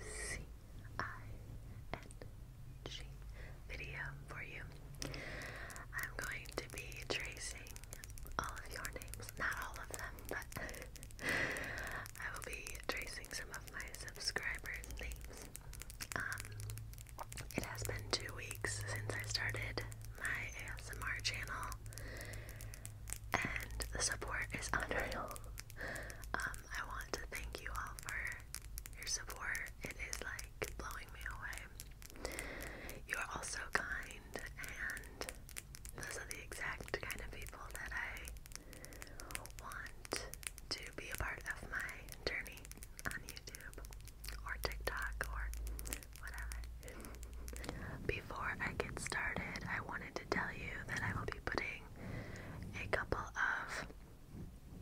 C I N G video for you. I'm going to be tracing all of your names, not all of them, but I will be tracing some of my subscribers' names. Um, it has been two weeks since I started my ASMR channel, and the support is unreal. Um, I want to thank you all for your support. It is like blowing me away. You are all so kind, and those are the exact kind of people that I want to be a part of my journey on YouTube or TikTok or whatever. Before I get started, I wanted to tell you that I will be putting a couple of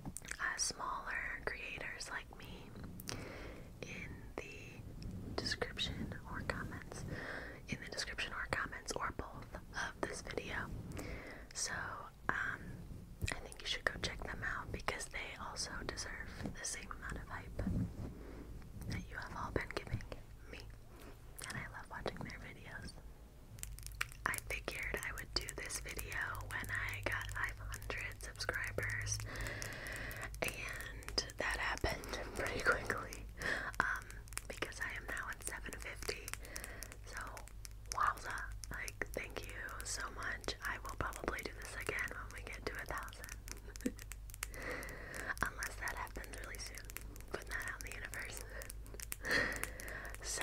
uh, smaller creators like me in the description or comments, in the description or comments, or both of this video. So, um, I think you should go check them out because they also deserve the same amount of hype that you have all been giving me and I love watching their videos. I figured I would do this video when I got 500 subscribers, and that happened pretty quickly um, because I am now at 750. So, wowza! Like, thank you so much. I will probably do this again when we get to a thousand. Unless that happens really soon. Putting that out in the universe. so,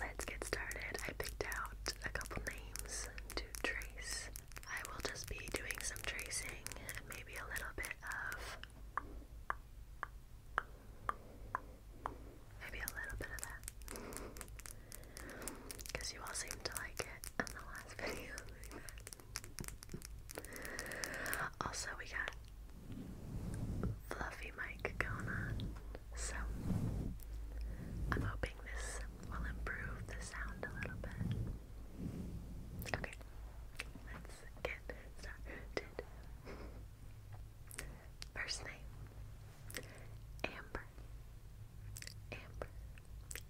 let's get started. I picked out a couple names to trace. I will just be doing some tracing and maybe a little bit of. Maybe a little bit of that. Because you all seem to like it in the last video also, we got Fluffy Mike going on, so I'm hoping this will improve the sound a little bit. Okay, let's get started. First name Amber. Amber. A, A, A, M, M, M,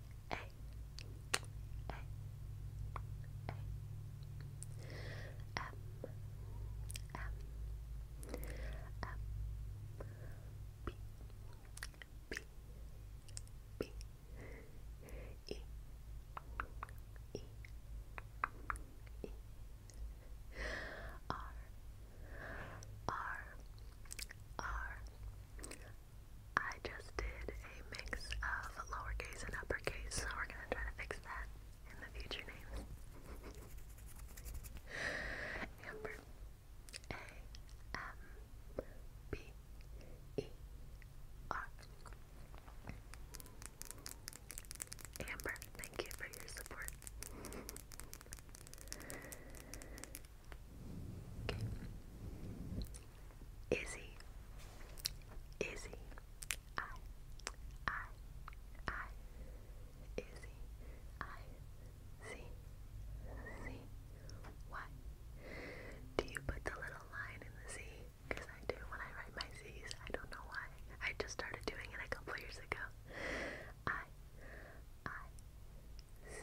B, B, B, E, E, E, R, R, R, I just did a mix of lowercase and uppercase, we're gonna try to fix that in the future names. Amber. A M B E R. Amber, thank you for your support. Okay. Izzy, Izzy, I, I, I, Izzy, I, Z, Z, Y. Do you put the little line in the Z? Because I do when I write my Z's. I don't know why. I just started doing it a couple years ago. I, I, Z,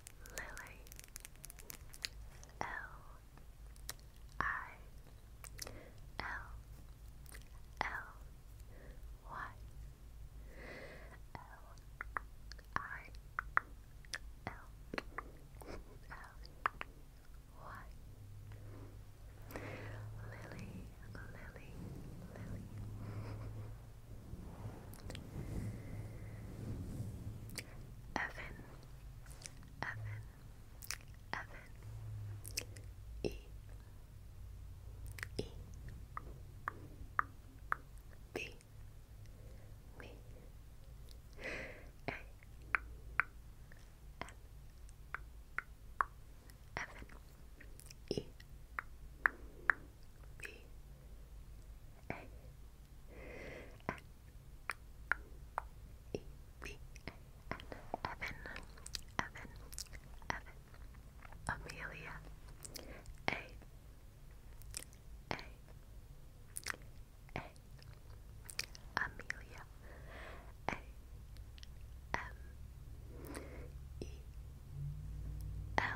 Lily L I L L Y L I L L Y Lily Lily Lily Evan, Evan, Evan, E, E, B, B, A, M, Evan, E, B A N E B A N Evan Evan Evan Amelia A A A Amelia A M E L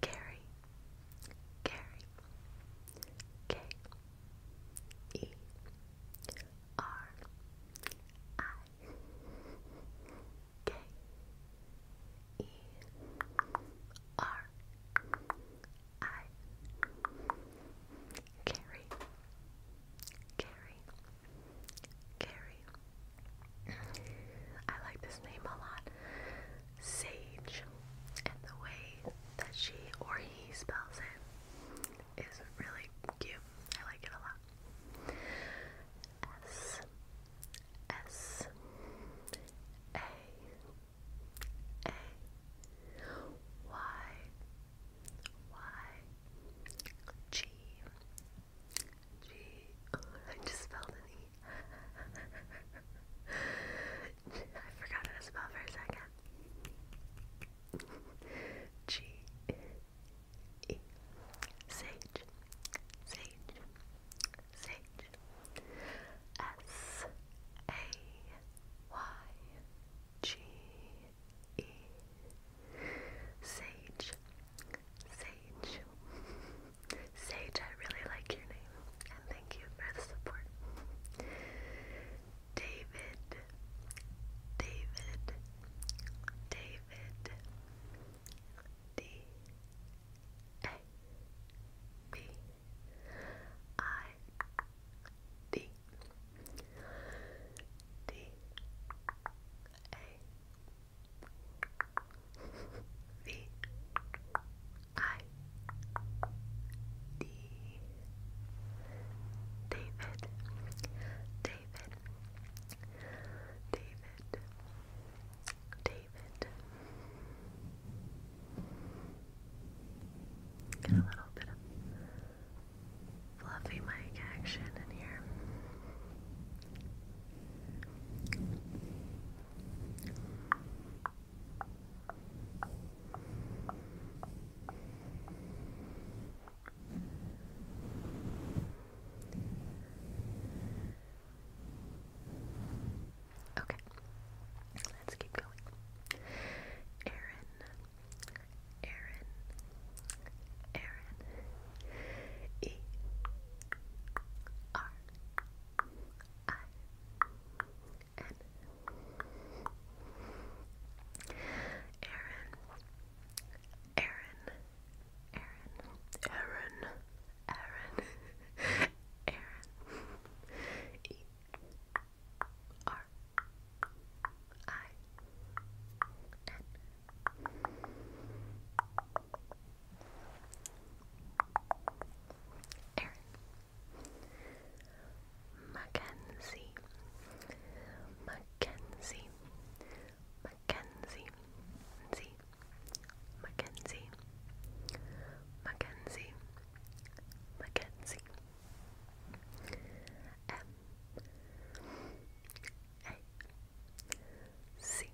Carrie, Carrie, K E R I K E R I Carrie, Carrie, Carrie. I like this name a lot. Sage. And the way that she or he spells it is really cute. I like it a lot. S S A A Y Y G G. just spelled an E. I forgot how to spell for a second. G. E. Sage. Sage. Sage. S. A. Y. G. E. Sage. Sage. Sage, I really like your name, and thank you for the support. David, David, David, D A B I D D A V I D David David David David Get a little bit of fluffy mic action here. Okay, let's keep going. Aaron, Aaron, Aaron, E R Aaron, Erin Mackenzie Mackenzie Mackenzie Mackenzie Mackenzie Mackenzie Mackenzie M A C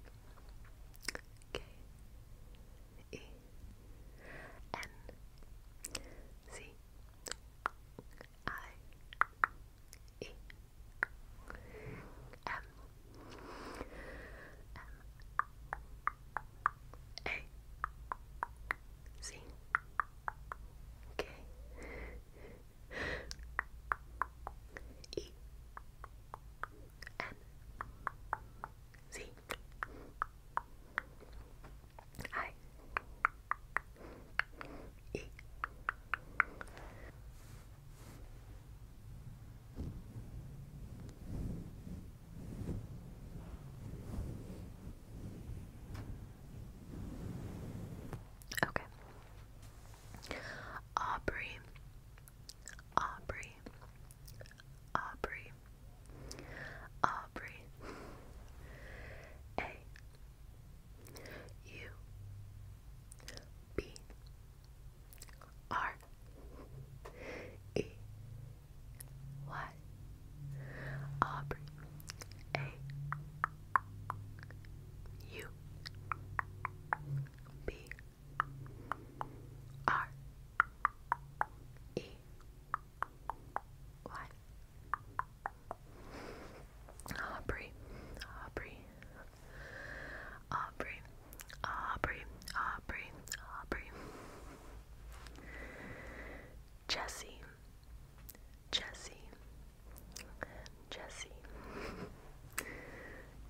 K E N C I E M M A C K E N N Z I E Okay. Aubrey Aubrey, Aubrey, Aubrey, A, U, B, R, E, Y, Aubrey, A, U, B. R E Y. Aubrey, Aubrey, Aubrey, Aubrey, Aubrey, Aubrey. Jesse, Jesse, Jesse,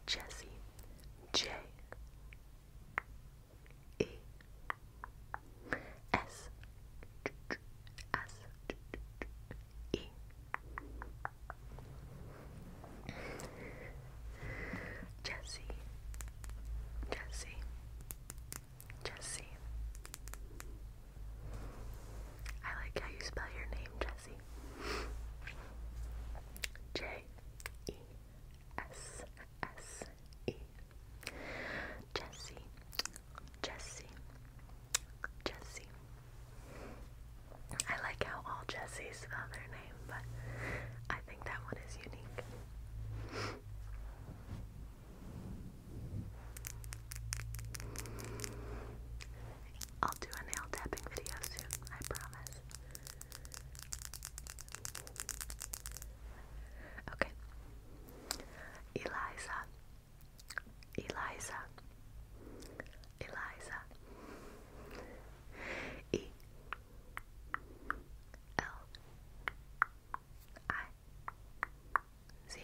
Jesse, J. E S S E Jesse Jesse Jesse I like how you spell your name, Jesse. J E S S E Jesse Jesse Jesse I like how all Jessies spell their name, but I think that one is unique. I'll do a nail tapping video soon, I promise. Okay. Eliza. Eliza. Eliza. E L I Z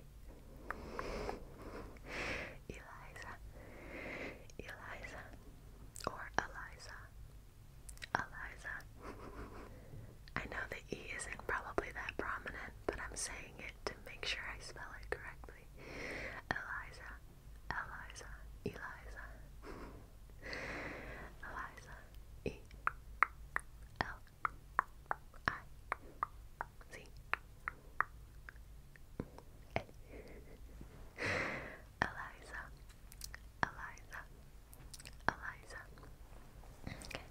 A Eliza. Eliza or Eliza. Eliza. I know the E isn't probably that prominent, but I'm saying it to make sure I spell it correctly. Eliza, Eliza, Eliza. Eliza. E L I C Eliza, Eliza, Eliza. Okay.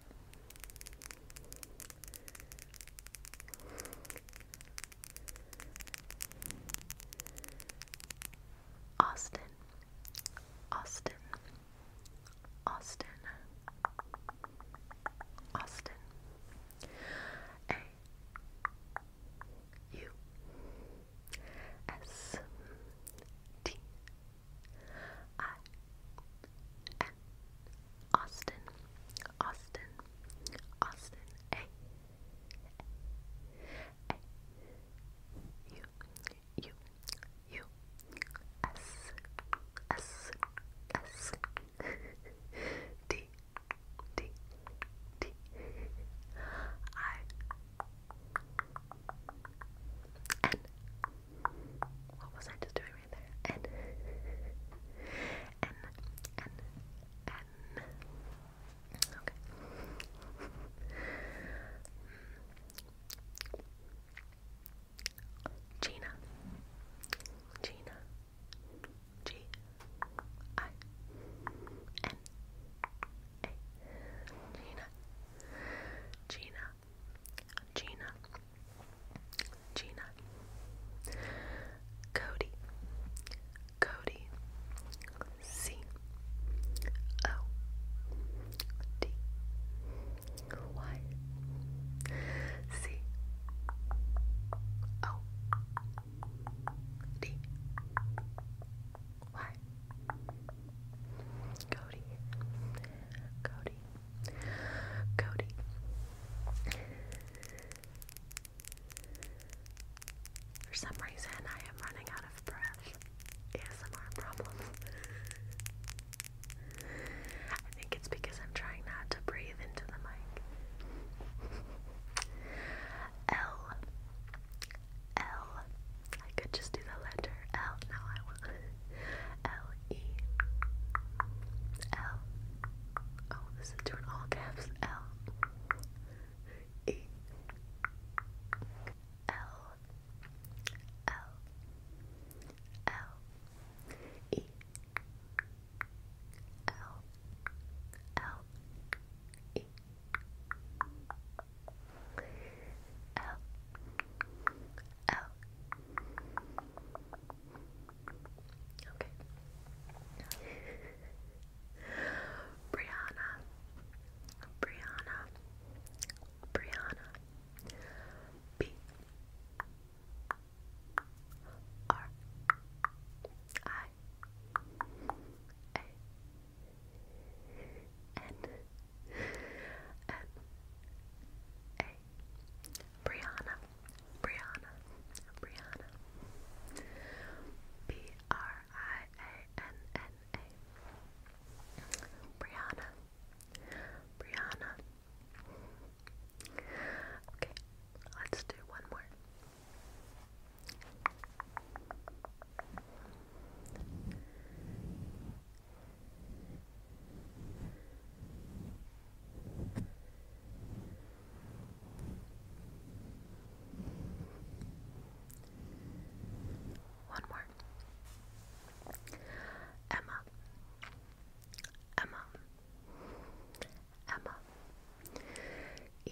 Austin, Austin, Austin, Austin. A U S T I N Austin Austin Austin A A U U U S S S D D D I N. What was I just doing right there? N N N N. Okay. Gina. Gina. G I N A Gina Gina Gina Gina Cody Cody C O D Y C O D Y Cody Cody Cody For some reason I am running out of breath. ASMR problem. I think it's because I'm trying not to breathe into the mic. L. L. I could just do the letter L. Now I will. L E L. Oh, this is doing all caps. L E L L L E L L E L. Okay. Brianna, Brianna, Brianna, B R I I N M A Brianna Brianna Brianna B R I A N N A Brianna Brianna Okay, let's do one more. One more. Emma. Emma. Emma. E.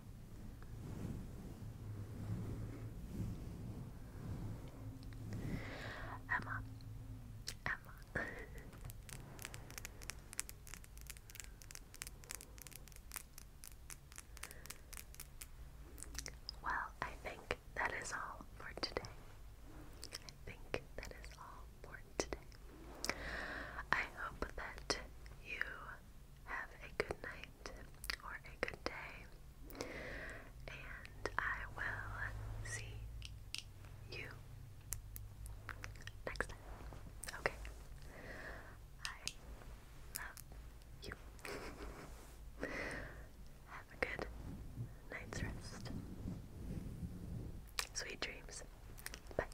Emma, Emma. well, I think that is all for today. I think that is all for today. I hope that you have a good night or a good day, and I will see you next time. Okay. I love you. have a good night's rest. Sweet dreams. Bye.